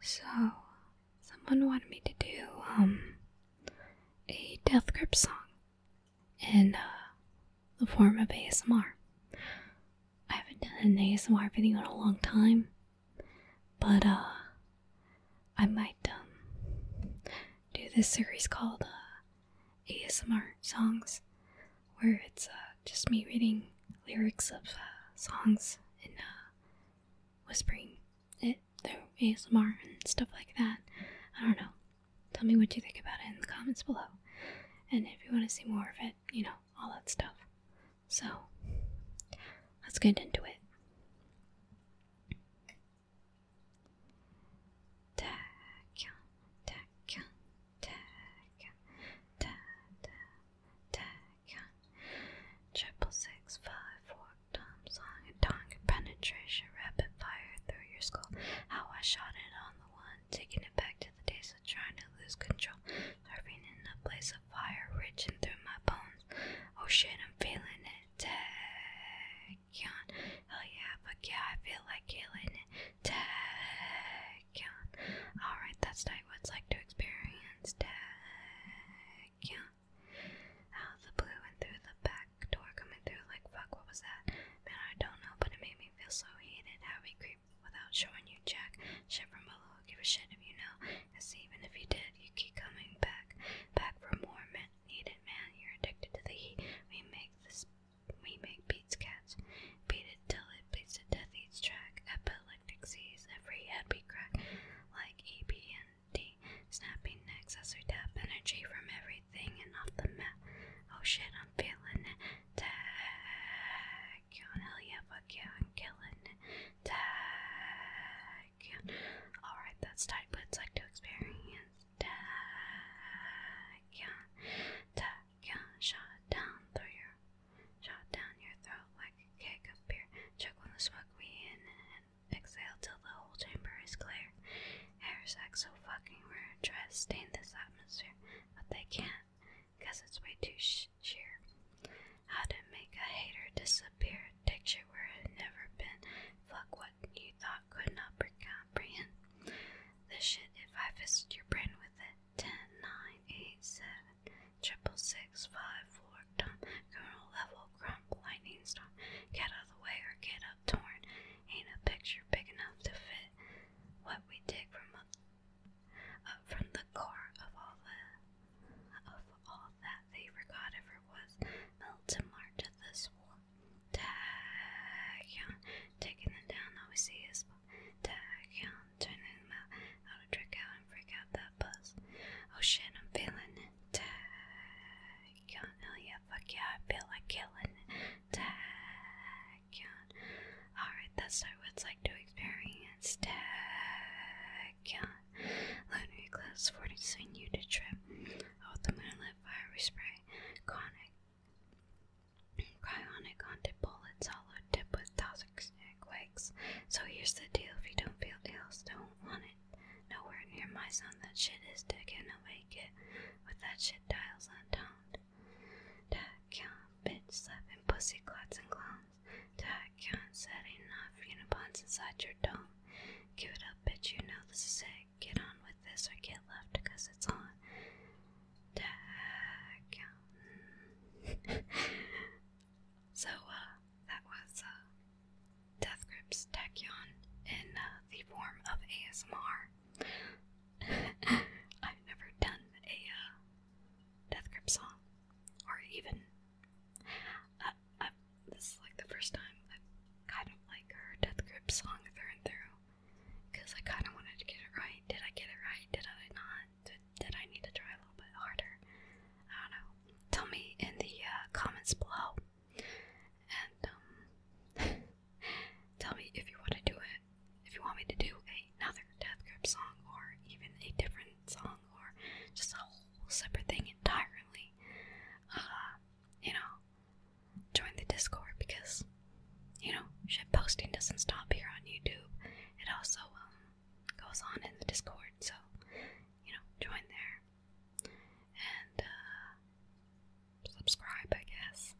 So, someone wanted me to do um a death grip song in uh, the form of ASMR. I haven't done an ASMR video in a long time, but uh, I might um do this series called uh, ASMR songs, where it's uh, just me reading lyrics of uh, songs and uh, whispering it through ASMR and stuff like that. I don't know. Tell me what you think about it in the comments below. And if you want to see more of it, you know, all that stuff. So, let's get into it attack. Triple six five tom song and tongue penetration rapid fire through your skull. How I shot it on the one, taking it back to the days of trying to lose control, serving in the place of fire, reaching through my bones. Oh shit, I'm feeling it. Tachyon. Hell yeah, fuck yeah, I feel like killing it. Tag Alright, that's not what like to experience Tachyon. Out the blue and through the back door coming through like fuck, what was that? Man, I don't know, but it made me feel so heated how we without showing you Jack. Shit from below, give a shit if you know. Cause even if you did, you keep coming back. Back for more man needed man, you're addicted to the heat. We make this we make Pete's cats. Beat it till it beats the death each track. Epileptic seize every head crack. Like E, B, and D. Snapping necks as we tap energy from everything and off the map. Oh shit, I'm feeling it. Tag. Hell yeah, fuck yeah, I'm killing it. Tag. Alright, that's tight, but like to experience. Tag. Tag can shot down through your shot down your throat like cake of beer. Check on the smoke we in and exhale till the whole chamber is clear. Air acts so fucking weird try to stain this atmosphere, but they can't, cause it's way too sheer. How to make a hater disappear, picture where it never been, fuck what you thought could not break out comprehend this shit if I fisted your brain with it. Ten, nine, eight, seven, triple six, five, four, dumb, criminal level, grump, lightning storm, get out of the way or get up torn. Ain't a picture big enough to fit what we dig from up, up from the core of all the of all that they forgot ever was. Melts large at this one Dagon, taking them down obviously is Dagon, turning him out, how to trick out and freak out that buzz. Oh shit, I'm feeling it. Dagon, hell yeah, fuck yeah, I feel like killing it. Dagon. Alright, that's what it's like to experience Dagon. Lunar eclipse, forcing you to trip. Oh, the moonlight fiery spray, conic, on tip bullets, hollow tip with toxic quakes. So here's the deal, if you don't feel ill, don't want it. Nowhere near my son, that shit is dead, cannot make it. With that shit dials untoned. That count, bitch, slapping pussy clots and clowns. That count, said enough, unipon's inside your dome. Give it up, bitch. You know this is it. Get on with this or get left because it's on. so, uh, that was uh, Death Grips Tachyon in uh, the form of ASMR. I've never done a uh, Death Grip song or even this is like the first time I kind of like her Death Grip song through and through because I kind of wanted to get it right. Did I get it right? Did I not? Did, I need to try a little bit harder? I don't know. Tell me in the uh, comments below. And um, tell me if you want to do it. If you want me to do another Death Grip song or even a different song or just a whole separate thing entirely, uh, you know, join the Discord because, you know, shit posting doesn't stop here on YouTube. It also um, goes on in the Discord, so, you know, join there. And, uh, subscribe, I guess.